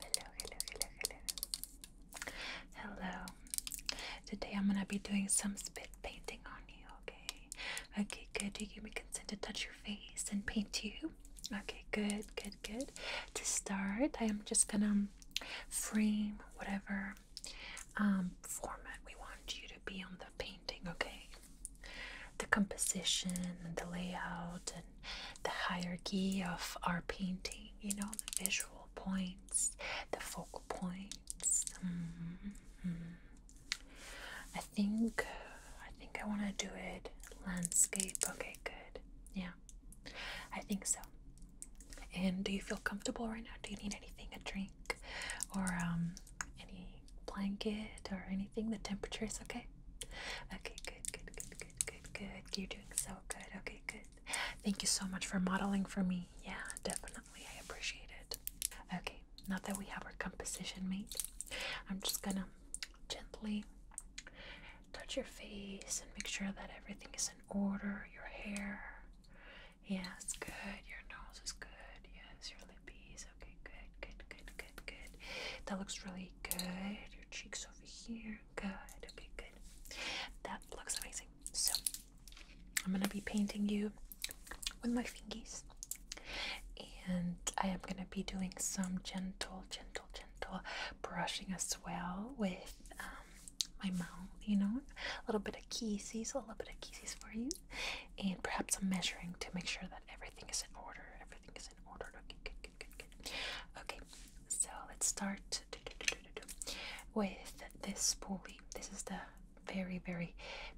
Hello, hello, hello, hello. Hello. Today I'm gonna be doing some spit painting on you, okay? Okay, good. Do you give me consent to touch your face and paint you? Okay, good, good, good. To start, I am just gonna frame whatever um, format we want you to be on the painting, okay? The composition and the layout and the hierarchy of our painting, you know, the visual points, the focal points. Mm-hmm. I think I think I want to do it landscape. Okay, good. Yeah. I think so. And do you feel comfortable right now? Do you need anything? A drink or um any blanket or anything? The temperature is okay. Okay, good, good, good, good good, good, You're doing so good. Okay, good. Thank you so much for modeling for me. Yeah, definitely. I appreciate it. Okay, now that we have our composition made, I'm just gonna gently touch your face and make sure that everything is in order. Your hair. Yes, good. Your nose is good. Yes, your lippies. Okay, good, good, good, good, good. That looks really good. Your cheeks over here. Good. Okay, good. That looks amazing. So, I'm gonna be painting you with my fingies, and I am gonna be doing some gentle, gentle, gentle brushing as well with um, my mouth. You know, a little bit of kisses, a little bit of kisses for you, and perhaps some measuring to make sure that everything is in order, everything is in order. Okay, Okay, so let's start with this pulley. This is the very, very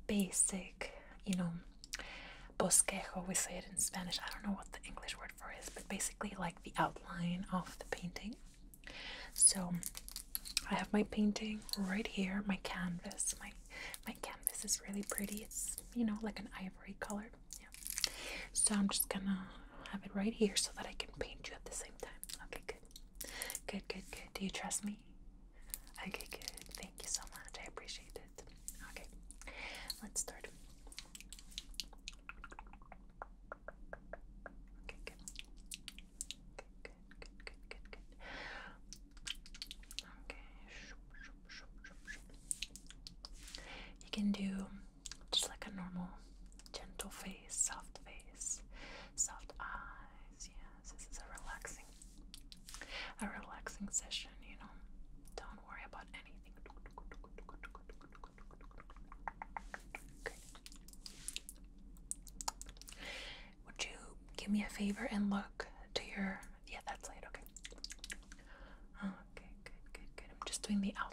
basic, you know, bosquejo, we say it in Spanish. I don't know what the English word for is, but basically like the outline of the painting. So I have my painting right here, my canvas. My my canvas is really pretty. It's, you know, like an ivory color. Yeah. So I'm just gonna have it right here so that I can paint you at the same time. Okay, good. Good, good, good. Do you trust me? Okay, good. Thank you so much. I appreciate it. Okay, let's start. Okay, good. Good, good, good, good, good, good. Okay. You can do just like a normal, gentle face, soft face, soft eyes. Yes, this is a relaxing, a relaxing session. You know, don't worry about anything. Okay. Would you give me a favor and look to your? Yeah, that's right. Okay. Okay, good, good, good. I'm just doing the outline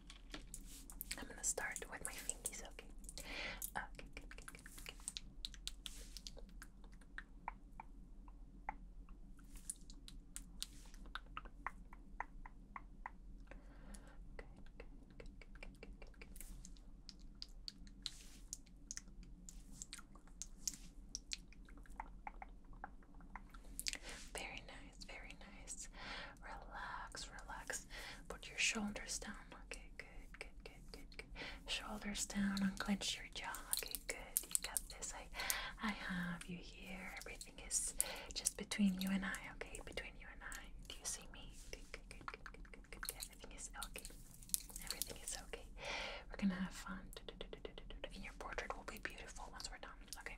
I'm gonna start with my fingers. okay? Okay, good, good, good, good. Good, good, good, nice, very nice. Relax, relax. Put your shoulders down. Okay, good, good, good, good, good. Shoulders down, unclench your jaw. Okay, good. You got this. I I have you here. Everything is just between you and I, okay? Between you and I. Do you see me? Good, good, good, good, good, good, Everything is okay. Everything is okay. We're gonna have fun. And your portrait will be beautiful once we're done. Okay.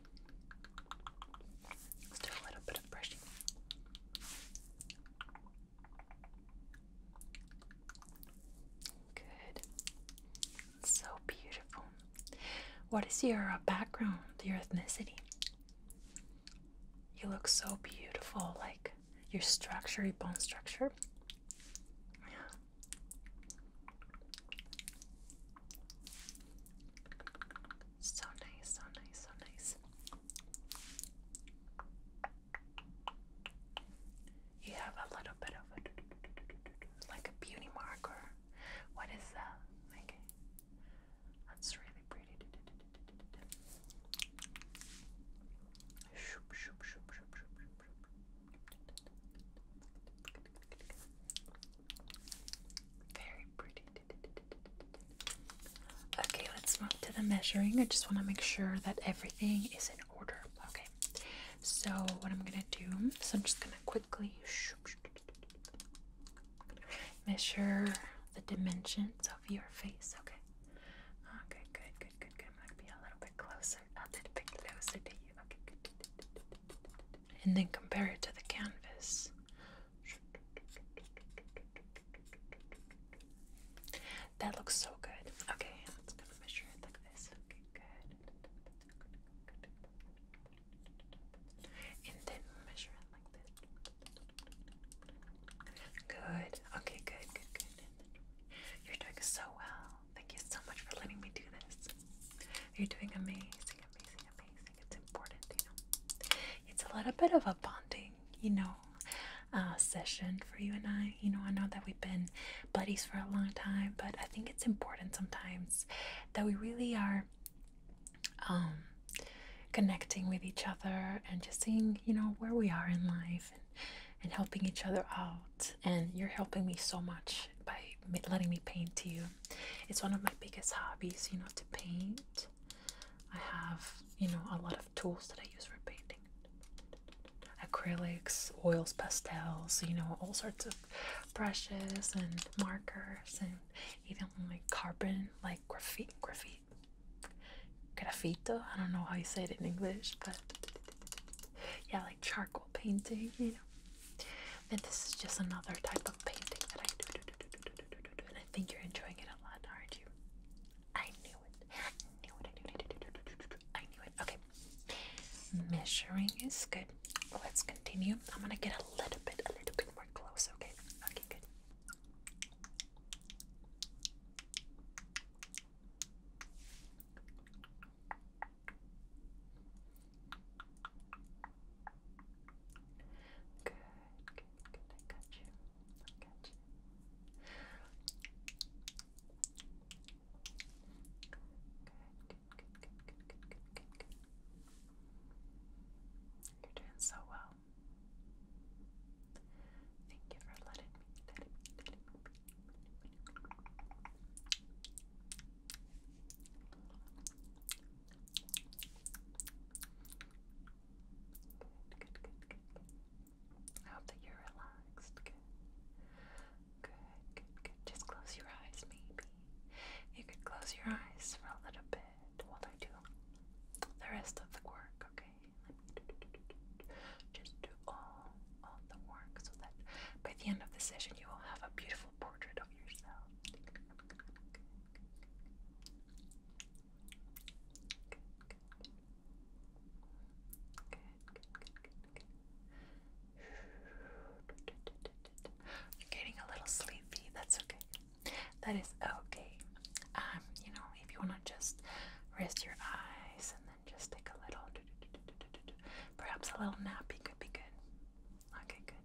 let a little bit of brushing. Good. So beautiful. What is your uh, background, your ethnicity? You look so beautiful, like your structure, your bone structure. So nice, so nice, so nice. You have a little bit of a like a beauty marker. What is that? Okay. That's really pretty. Very pretty. Okay, let's move to the measuring. I just want to make sure that everything is in order. Okay, so what I'm gonna do is I'm just gonna quickly measure the dimensions of your face. Okay. Okay, good, good, good, good. I'm a little bit closer, a bit closer to you. Okay, And then compare it to the canvas. That looks so good. Okay, I'm just measure it like this. good. And then measure it like this. Good. Okay, good, good, good. You're doing so well. Thank you so much for letting me do this. You're doing amazing, amazing, amazing. It's important, you know. It's a little bit of a bonding, you know, uh, session for you and I. You know, I know that we've been buddies for a long time, but I think it's important sometimes that we really are um, connecting with each other and just seeing, you know, where we are in life and, and helping each other out. And you're helping me so much by letting me paint to you. It's one of my biggest hobbies, you know, to paint. I have, you know, a lot of tools that I use for painting acrylics, oils, pastels, you know, all sorts of brushes and markers, and even like carbon, like graphite, graphite, graffito. I don't know how you say it in English, but yeah, like charcoal painting, you know. And this is just another type of painting that I do and I think you're enjoying it a lot, aren't you? I knew it. I knew it. Okay. Measuring is good. Let's continue. I'm gonna get a little bit, a little bit more close. Okay. Okay. Good you. are doing so well. Thank you for letting me, I hope that you're relaxed. Good. Good, good, Just close your eyes, maybe. You could close your eyes for a little bit while I do the rest of the work, okay? Just do all, all the work so that by the end of the session you will have a beautiful portrait of yourself. You're getting a little sleepy. That's okay. That is okay. Um, you know, if you wanna just rest your eyes and then just take a little, do do do do do do, perhaps a little nap, it could be good. Okay, good.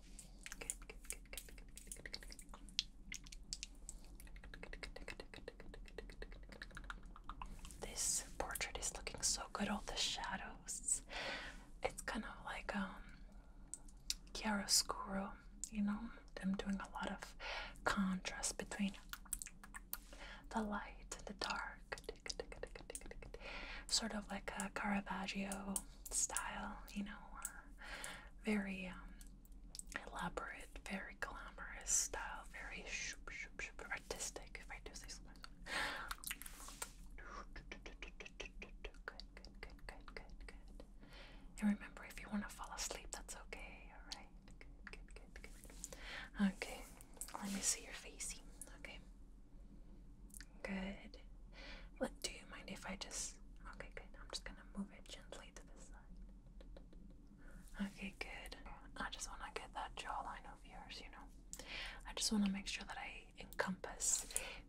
This portrait is looking so good. All the shadows. It's kind of like um, chiaroscuro. You know, I'm doing a lot of contrast between the light and the dark. Sort of like a Caravaggio style, you know, very um, elaborate, very glamorous style, very artistic, if I do say so Good, good, good, good, good, good. And remember, if you want to fall asleep, that's okay, alright? Good, good, good, good. Okay, let me see your facey, okay? Good. What do you mind if I just. Okay, good. I'm just gonna move it gently to the side. Okay, good. I just wanna get that jawline of yours, you know. I just wanna make sure that I encompass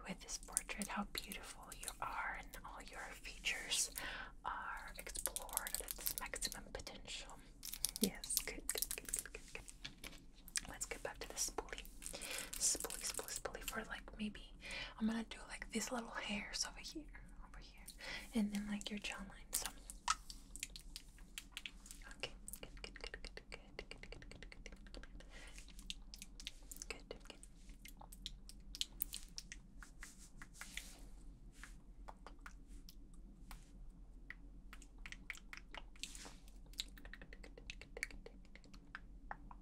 with this portrait how beautiful you are and all your features are explored at its maximum potential. Yes, good. Let's get back to the spoolie. Spoolie, spoolie, spoolie for like maybe I'm gonna do like these little hairs over here, over here, and then like your jawline. okay, good, good, good, good, good, good, good, good, good, good, good, good. Okay,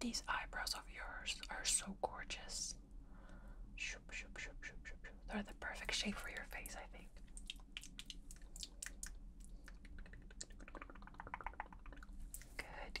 These eyebrows of yours are so gorgeous. They're the perfect shape for your face, I think. Good,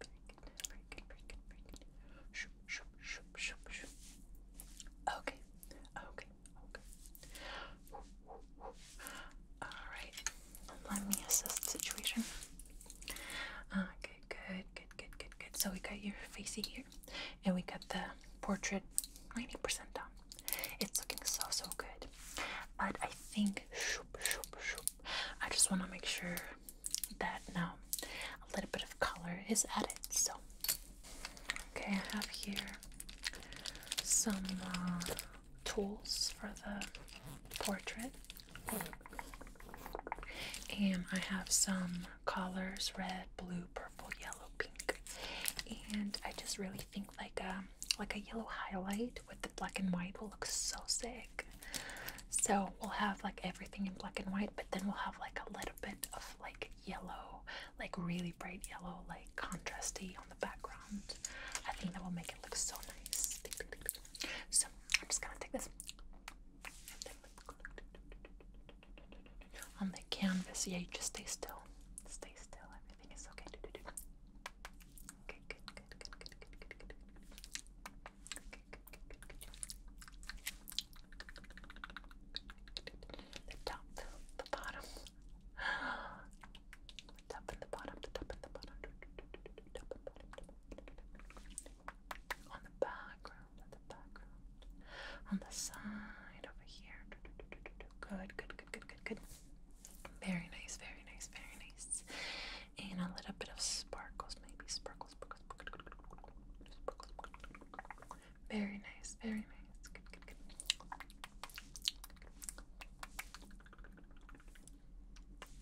Very good, very good, very good, very good. Okay, okay, okay. Alright, let me assess the situation. Okay, good, good, good, good, good. So we got your facey here, and we got the portrait 90% done. It's looking so, so good. But I think, shoop, shoop, shoop. I just want to make sure that now a little bit of color is added. So, okay, I have here some uh, tools for the portrait, and I have some colors red, blue, purple, yellow, pink, and I just really think like a like a yellow highlight with the black and white will look so sick big. So we'll have like everything in black and white, but then we'll have like a little bit of like yellow, like really bright yellow, like contrasty on the background. I think that will make it look so nice. So I'm just gonna take this on the canvas. Yeah, you just stay still. Stay still. Everything is okay. Okay, good, good, good, good, good, good, good. Okay, the top, the bottom. The top and the bottom, the top and the bottom. On the background, on the background. On the side over here. Good, good, good, good, good, good. Very nice, very nice, very nice and a little bit of sparkles, maybe sparkles, Very nice, very nice. good, good, good, good, good,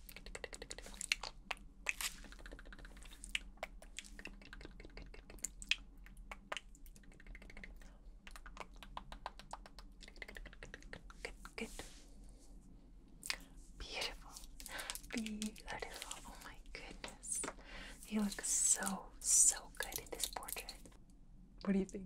good, good, good, good, good, good, good Beautiful. Beautiful. Oh my goodness. You look so, so good in this portrait. What do you think?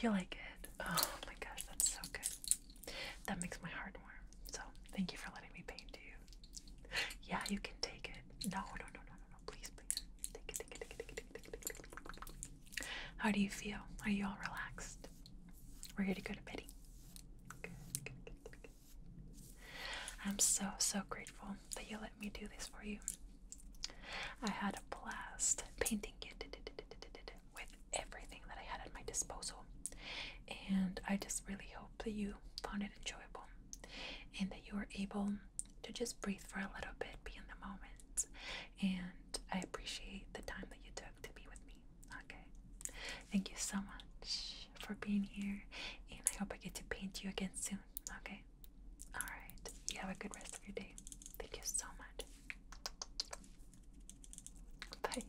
You like it? Oh my gosh, that's so good. That makes my heart warm. So thank you for letting me paint you. Yeah, you can take it. No, no, no, no, no, no. Please, please. Take it, take it, take it, take it, take it, take it. How do you feel? Are you all relaxed? We're here to go to bed. I'm so, so grateful that you let me do this for you. I had a blast painting you with everything that I had at my disposal. And I just really hope that you found it enjoyable and that you were able to just breathe for a little bit, be in the moment. And I appreciate the time that you took to be with me. Okay. Thank you so much for being here, and I hope I get to paint you again soon. Okay. All right. You have a good rest of your day. Thank you so much. Bye.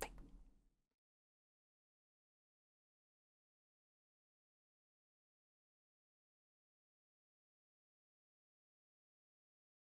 Bye.